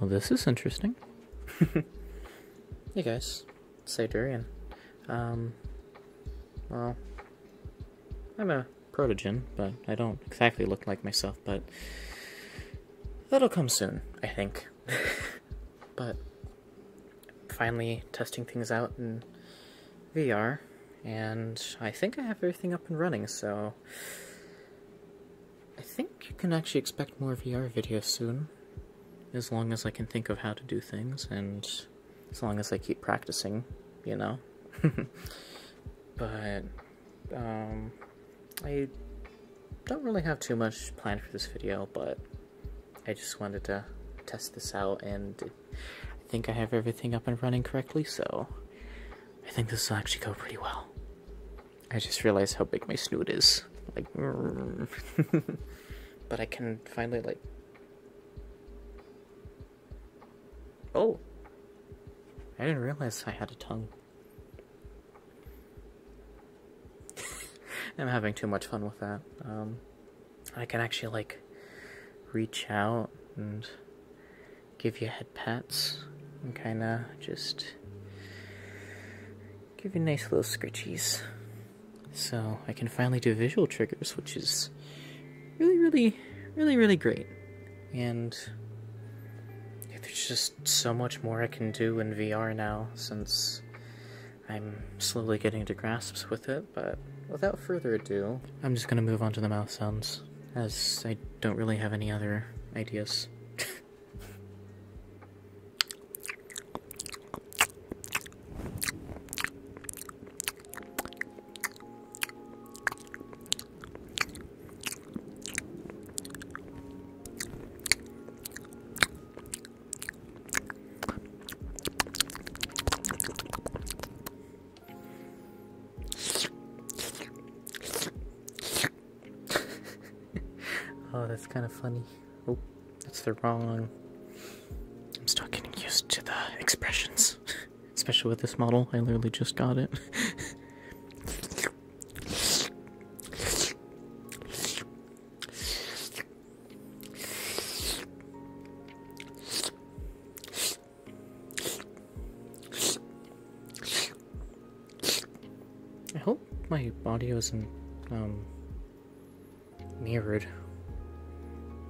Well, this is interesting. hey guys, say Durian. Um, well, I'm a protogen, but I don't exactly look like myself, but that'll come soon, I think. but finally testing things out in VR, and I think I have everything up and running, so I think you can actually expect more VR videos soon, as long as I can think of how to do things, and as long as I keep practicing, you know. but um, I don't really have too much planned for this video, but I just wanted to test this out, and I think I have everything up and running correctly, so I think this will actually go pretty well. I just realized how big my snoot is. Like, but I can finally, like, Oh. I didn't realize I had a tongue. I'm having too much fun with that. Um, I can actually, like, reach out and give you head pats and kind of just give you nice little scritchies. So I can finally do visual triggers, which is really, really, really, really great. And there's just so much more I can do in VR now since I'm slowly getting to grasps with it, but without further ado, I'm just gonna move on to the mouth sounds, as I don't really have any other ideas. oh, that's kind of funny. Oh, that's the wrong. I'm still getting used to the expressions. Especially with this model, I literally just got it. I hope my audio isn't um, mirrored.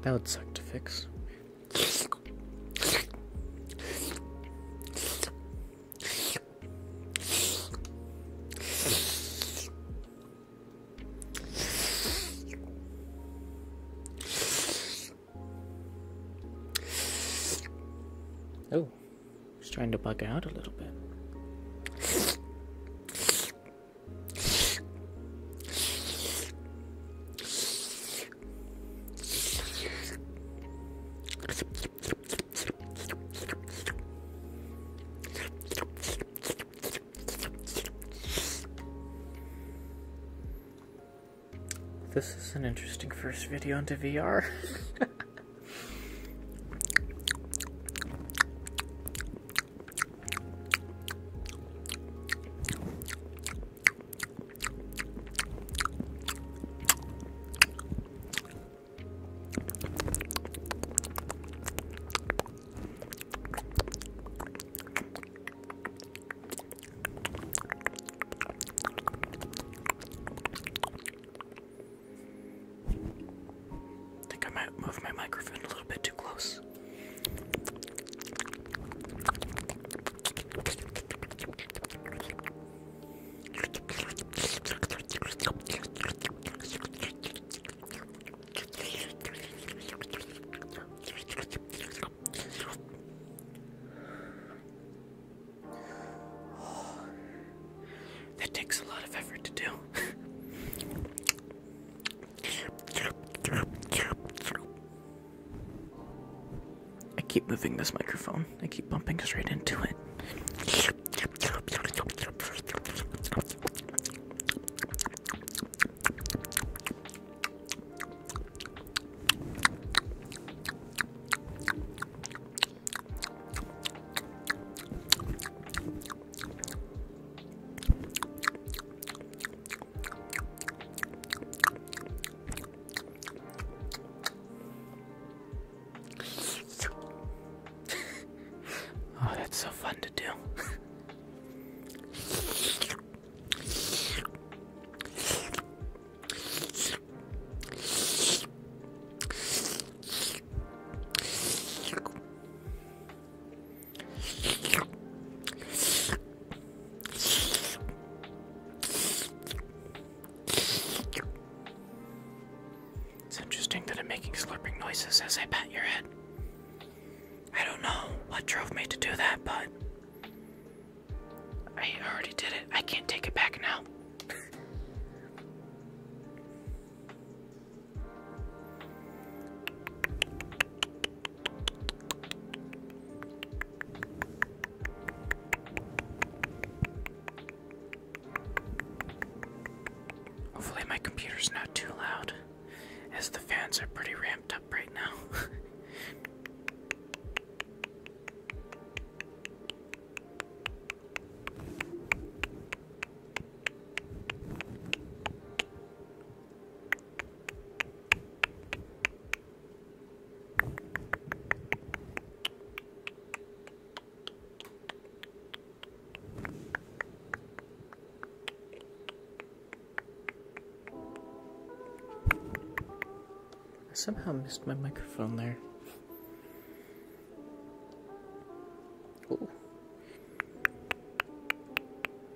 That would suck to fix. Oh, he's trying to bug out a little bit. This is an interesting first video into VR. I think I might move my microphone a little bit too close. That takes a lot of effort to do. I keep moving this microphone. I keep bumping straight into it oh, that's so fun to do. It's interesting that I'm making slurping noises as I pat your head. I don't know what drove me to do that, but I already did it. I can't take it back now. Hopefully, my computer's not too loud, as the fans are pretty ramped up right now. I somehow missed my microphone there.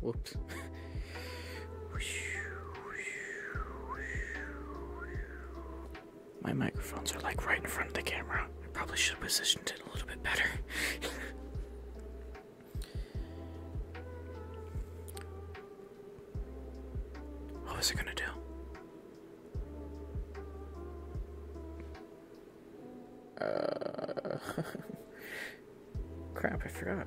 Whoops. My microphones are like right in front of the camera. I probably should have positioned it a little bit better. what was it gonna do? Uh, Crap, I forgot.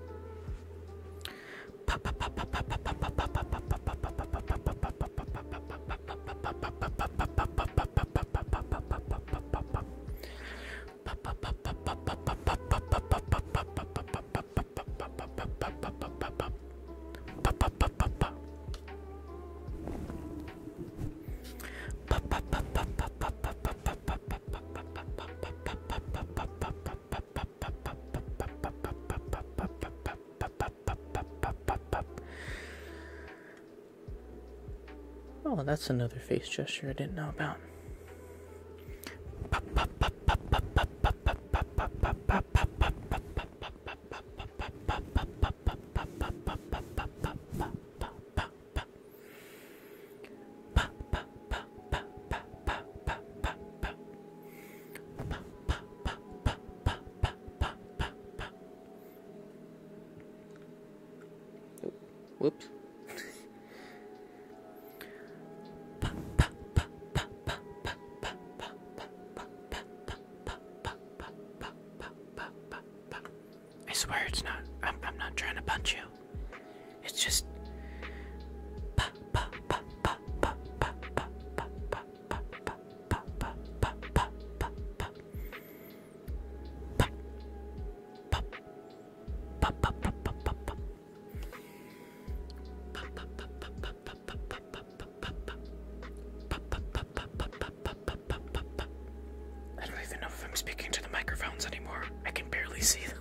Oh, that's another face gesture I didn't know about. Oh, whoops. I swear it's not. I'm, I'm not trying to punch you. It's just I don't even know if I'm speaking to the microphones anymore. I can barely see them.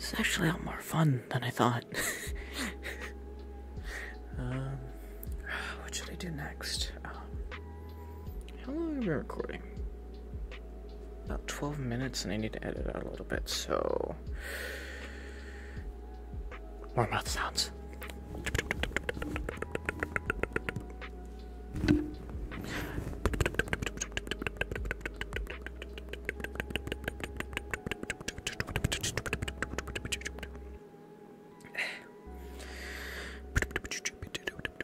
It's actually a lot more fun than I thought. um, what should I do next? Um, how long have we been recording? about 12 minutes and I need to edit out a little bit, so more mouth sounds.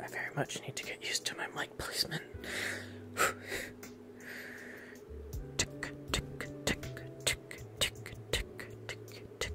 I very much need to get used to my mic placement. tick, tick, tick, tick, tick, tick, tick, tick, tick, tick, tick,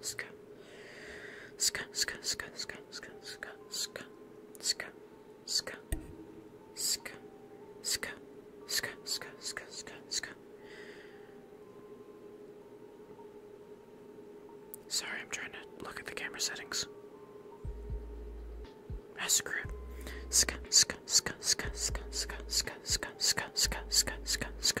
ska, ska, ska, ska, ska, ska, ska, ska, ska, ska, ska, ska, ska, ska, ska, ska, ska. Sorry, I'm trying to look at the camera settings. Ah, screw it. Ska, ska, ska, ska, ska, ska, ska, ska, ska, ska, ska, ska, ska.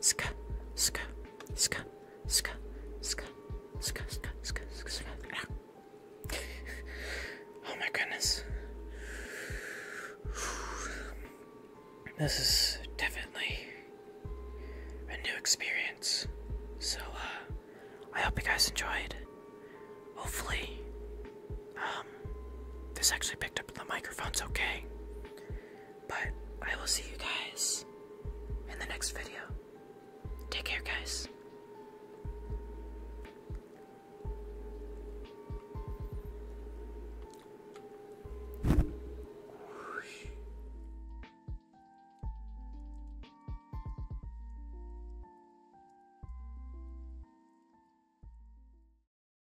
ska, ska, ska, ska, ska, ska, ska, ska, ska. Ah. Oh my goodness. This is definitely a new experience. So, uh, I hope you guys enjoyed. Hopefully, um, this actually picked up the microphone's okay. But I will see you guys in the next video. Take care, guys.